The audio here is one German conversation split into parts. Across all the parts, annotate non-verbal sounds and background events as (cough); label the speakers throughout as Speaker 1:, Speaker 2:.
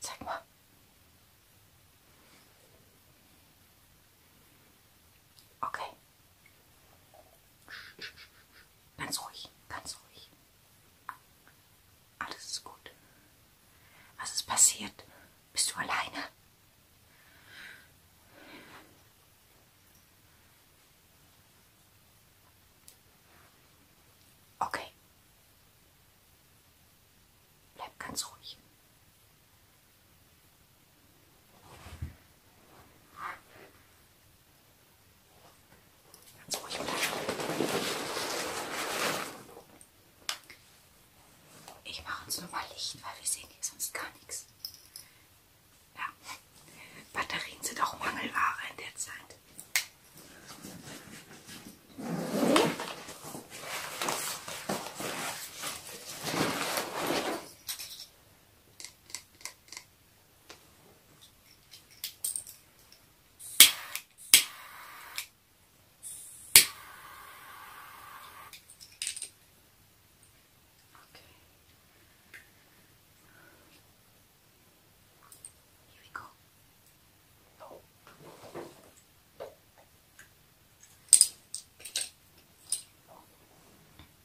Speaker 1: Zeig mal. Okay. Ganz ruhig, ganz ruhig. Alles ist gut. Was ist passiert? Bist du alleine? Okay. Bleib ganz ruhig. Ganz ruhig bleiben. Ich mache uns nur mal Licht, weil wir sehen hier sonst gar nichts. Ja. Batterien sind auch Mangelware in der Zeit. Okay. Here we go. No.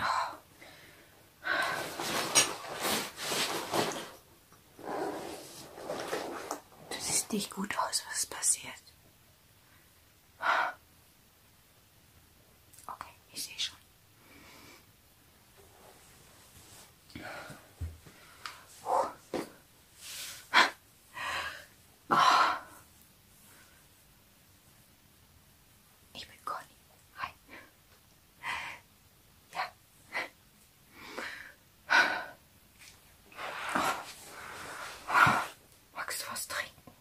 Speaker 1: Oh. Du siehst nicht gut aus, was passiert. Okay, ich sehe schon. Oh. ik ben Hi. Ja. Magst du was trinken?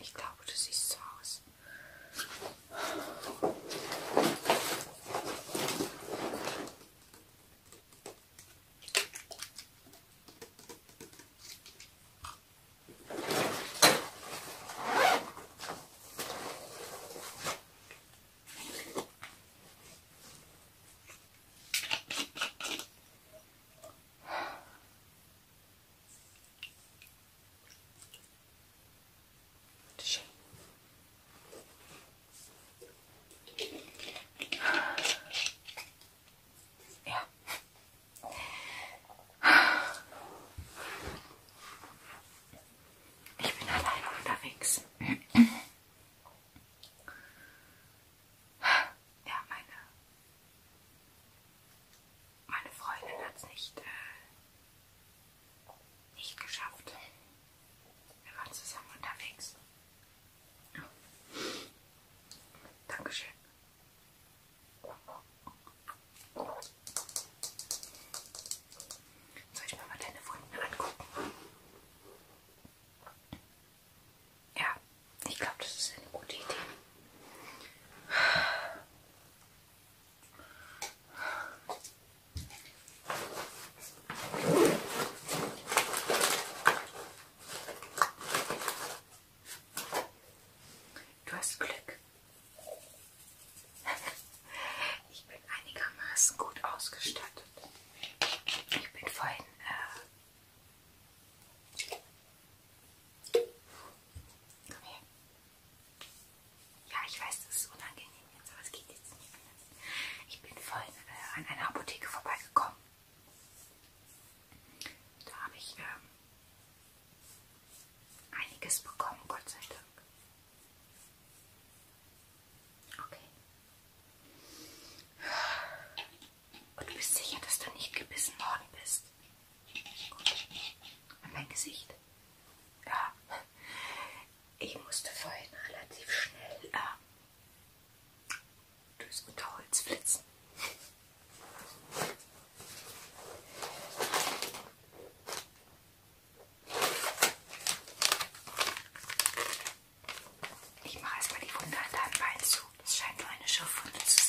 Speaker 1: Ich glaube, du siehst so aus. Ja. Ich bin alleine unterwegs. Ja, meine meine Freundin hat es nicht, äh, nicht geschafft. Wir waren zusammen unterwegs. Ja. Dankeschön. Soll ich mir mal deine Wunden angucken? Ja, ich glaube, das ist eine gute Idee. Du hast Glück. (laughs) Ich bin einigermaßen gut ausgestattet. Ich bin vorhin äh, Komm her. Ja, ich weiß, das ist unangenehm jetzt, aber es geht jetzt nicht anders. Ich bin vorhin äh, an einer Apotheke vorbeigekommen. Da habe ich ähm, einiges bekommen, Gott sei Dank. Okay. Und du bist sicher, dass du nicht gebissen worden bist? Gut. Und mein Gesicht? Ja. Ich musste vorhin relativ schnell äh, durchs Unterholz flitzen. Ich mache erstmal die Wunde an deinem Bein zu. Das scheint nur eine Schürfwunde zu sein.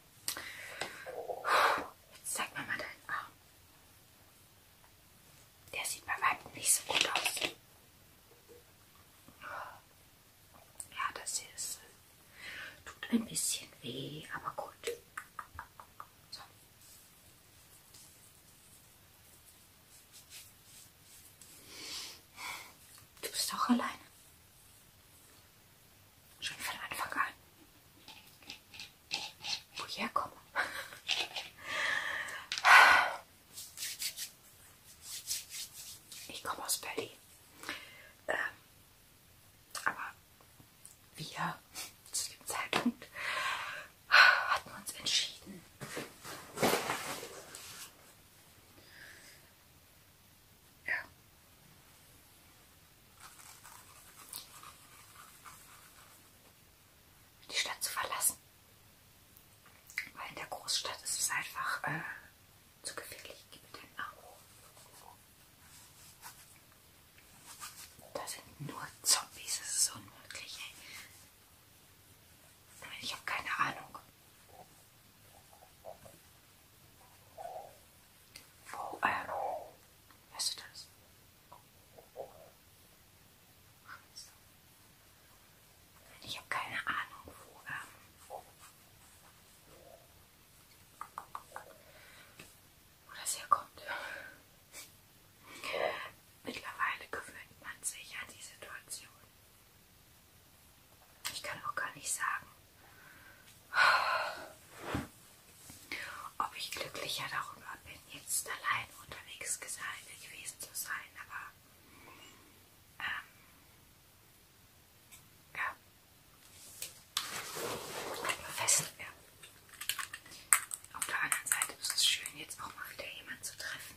Speaker 1: Jetzt zeig mir mal deinen Arm. Der sieht bei weitem nicht so gut aus. Ja, das hier ist, äh, tut ein bisschen weh, aber gut. So. Du bist auch alleine. Schon von Anfang an woher komme. Ich komme aus Berlin. Ähm, aber wir zu dem Zeitpunkt hatten uns entschieden, ja, die Stadt zu verlassen. Weil in der Großstadt ist es einfach äh, zu gefährlich. Gib mir den Abo. Da sind nur Zombies, das ist unmöglich. Ey. Ich habe keine Ahnung. Wo, äh, hörst du das? Scheiße. Ich habe keine Ahnung, wo, ähm, wo das herkommt. Mittlerweile gewöhnt man sich an die Situation. Ich kann auch gar nicht sagen, ob ich glücklicher darüber bin, jetzt allein unterwegs gewesen zu sein, aber ähm, ja, fest. Ja. Auf der anderen Seite ist es schön, jetzt auch mal wieder jemanden zu treffen.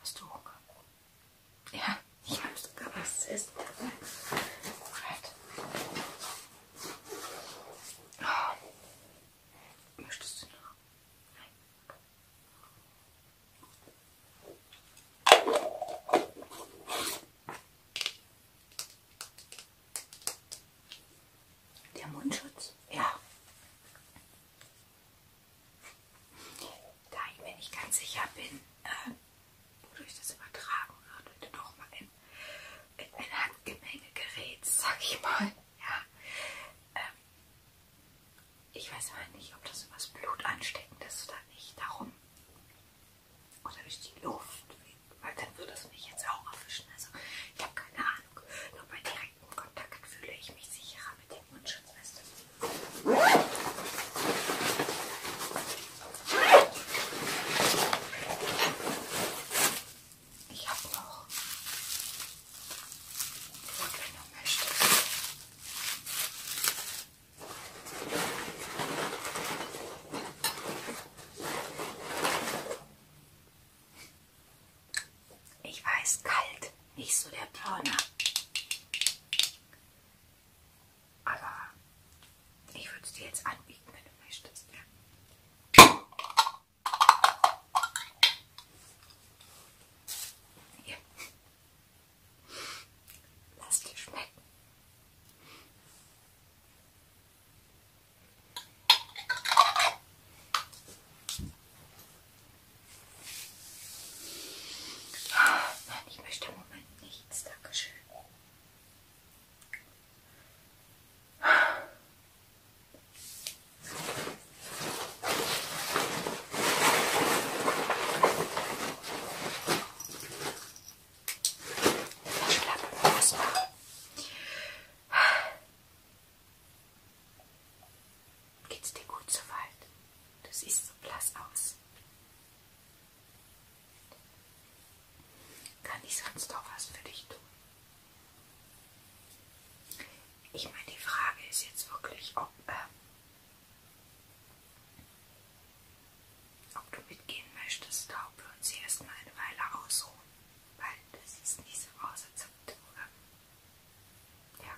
Speaker 1: Hast du Hunger? Ja, ich habe sogar was zu essen. Right. Oh. Möchtest du noch? Nein. Der Mundschutz? Ja. Da ich mir nicht ganz sicher bin, äh, wodurch das übertragen wird, wenn du doch mal in, in ein Handgemenge gerätst, sag ich mal. Ja. Ähm, ich weiß aber nicht, ob das übers Blut ansteckend ist oder nicht. Darum. Oder durch die Luft. Weil dann würde es mich jetzt auch erwischen. Also ich habe keine Ahnung. Nur bei direktem Kontakt fühle ich mich sicherer mit dem Mundschutzweste. Ich habe auch Brot, wenn du möchtest. Ich weiß, kalt, nicht so der Turner. Aber ich würde es dir jetzt anbieten, wenn du möchtest. Hier. Lass dir schmecken. Nein, ich möchte im Moment nichts. Dankeschön. Geht's dir gut soweit? Du siehst so blass aus. Kann ich sonst noch was für dich tun? Ich meine, die Frage ist jetzt wirklich, ob, äh, ob du mitgehen möchtest oder ob wir uns hier erstmal eine Weile ausruhen. Weil du siehst nicht so aus, als ob du äh, ja.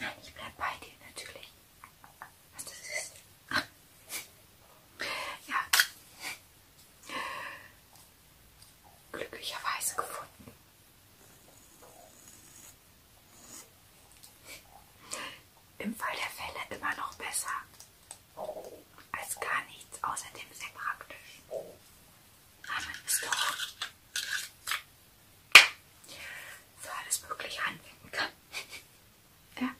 Speaker 1: Nein, ich bleib bei dir natürlich. Was das ist. (laughs) ja. Glücklicherweise gefunden. Im Fall der Fälle immer noch besser als gar nichts außerdem sehr praktisch haben es doch für alles Mögliche anwenden kann. (laughs) ja.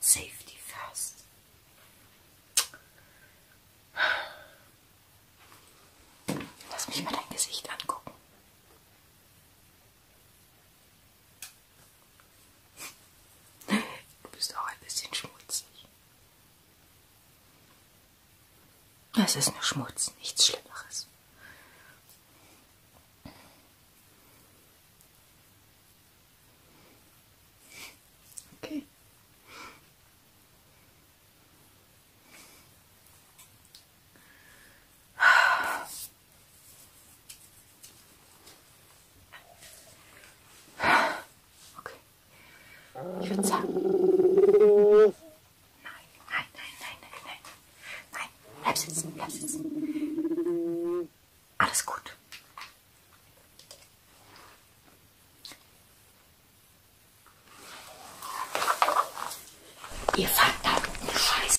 Speaker 1: Safety first. Lass mich mal dein Gesicht angucken. (laughs) Du bist auch ein bisschen schmutzig. Es ist nur Schmutz, nichts Schlimmeres. Okay. Okay. Ich würde sagen. Nein, nein, nein, nein, nein, nein. Nein, bleib sitzen, bleib sitzen. Alles gut. Ihr verdammten Scheiß.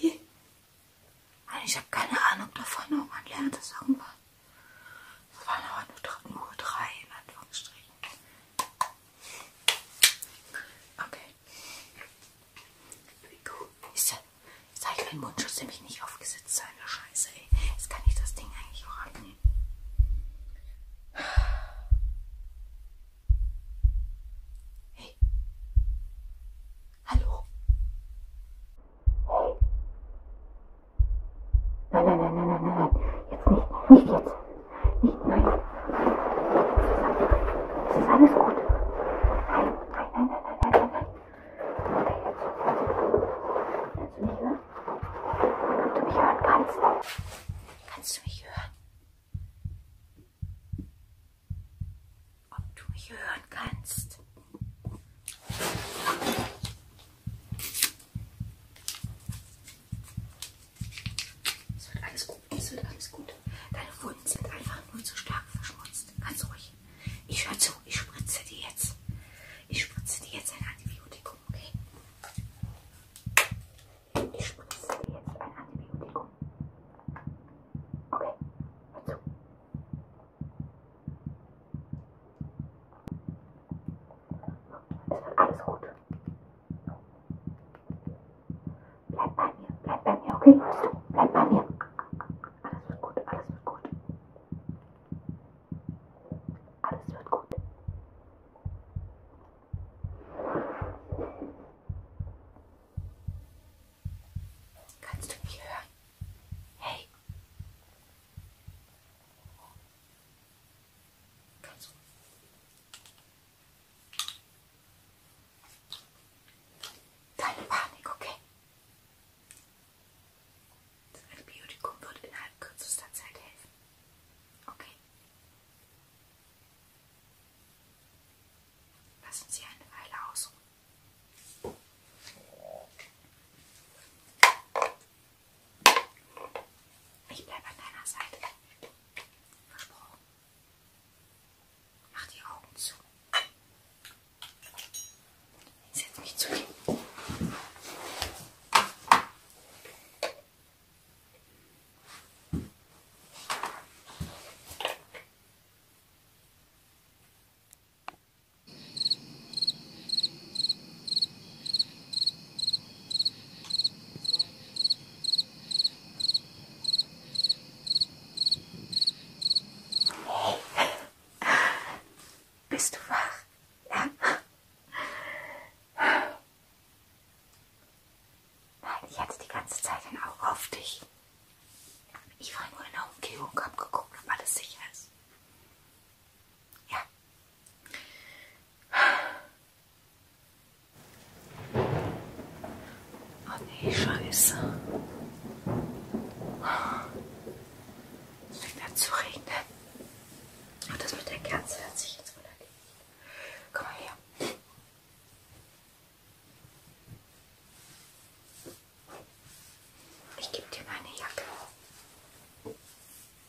Speaker 1: Die? Ich habe keine Ahnung davon, ob man lernt es irgendwann. Es waren aber nur, nur drei in Anführungsstrichen. Okay. Ist ja, jetzt habe ich meinen Mundschutz nämlich nicht aufgesetzt. Seine Scheiße, ey. Jetzt kann ich das Ding eigentlich auch abnehmen. Hey. Hallo. Nein, nein, nein, nein, nein, nein, Jetzt nicht. Nicht jetzt. Nicht, nein. Es ist alles gut. Nein, nein, nein, nein, nein, nein, nein. Okay, jetzt. Kannst du mich hören? Ob du mich hören kannst? Kannst du mich hören? Ob du mich hören kannst? Es wird alles gut, es wird alles gut. Deine Wunden sind einfach nur zu stark verschmutzt. Ganz ruhig. Ich höre zu, ich spritze dir jetzt. Ich spritze dir jetzt ein Antibiotikum, okay? Ich spritze dir jetzt ein Antibiotikum. Okay, hör zu. Alles gut. Bleib bei mir, bleib bei mir, okay? Bleib bei mir. Alles wird gut, alles wird gut. Alles wird gut. Kannst du mich hören? Hey. Katze. Keine Panik, okay? Das Antibiotikum wird innerhalb kürzester Zeit helfen. Okay? Lassen Sie eine Weile ausruhen. Ich bleibe an deiner Seite. Versprochen. Mach die Augen zu. Setz mich zu dir. Bist du wach? Ja. Nein, ich hatte die ganze Zeit ein Auge auf dich. Ich war nur in der Umgebung, hab geguckt, ob alles sicher ist. Ja. Oh nee, Scheiße. Es fängt an zu regnen. Und das mit der Kerze hört sich jetzt relativ. Komm mal her. Ich gebe dir meine Jacke.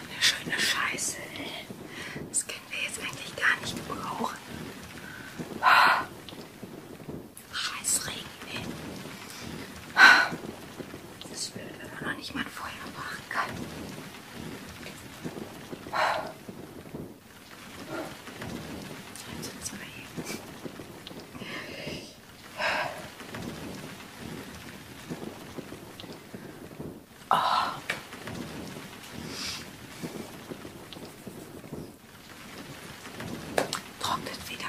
Speaker 1: Eine schöne Scheiße, ey. Das können wir jetzt eigentlich gar nicht gebrauchen. Scheiß Regen, ey. Das ist blöd, wenn man noch nicht mal ein Feuer machen kann. Jetzt sitzen wir hier. Oh. Trocknet wieder.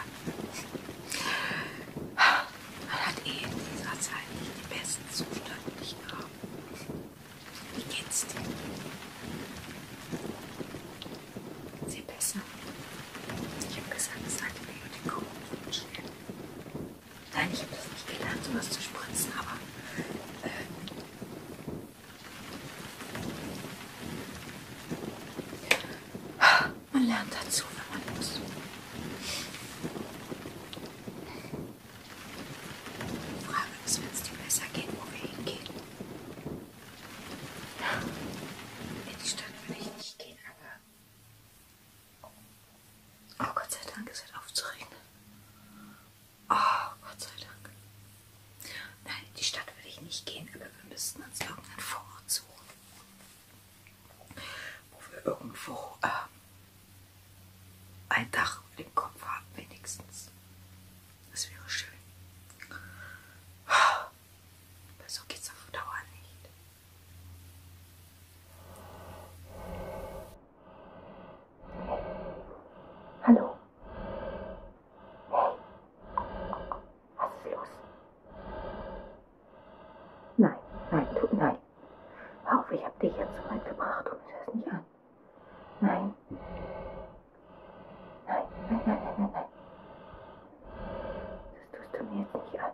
Speaker 1: Man hat eh in dieser Zeit nicht den besten Zustand, nicht haben. Wie geht's dir? Sehr besser. Ich habe gesagt, es hat mir über den Kopf schnell. Nein, ich habe das nicht gelernt, sowas zu spritzen, aber. Äh, man lernt dazu, wenn man muss. Die Frage ist, wenn es dir besser geht, wo wir hingehen. In die Stadt will ich nicht gehen, aber Oh Gott sei Dank, es hört auf zu regnen. Oh Gott sei Dank. Nein, in die Stadt würde ich nicht gehen, aber wir müssten uns irgendeinen Vorort suchen. Wo wir irgendwo äh, ein Dach über dem Kopf haben, wenigstens. Das wäre schön. Oh, aber so geht's auf Dauer nicht. Hallo. Hey. Was ist los? Nein, nein, tut nein. Hör auf, ich hab dich jetzt so weit gebracht. Tu mir das nicht an. Nein. Nein, nein, nein, nein, nein, nein. Das tust du mir jetzt nicht an.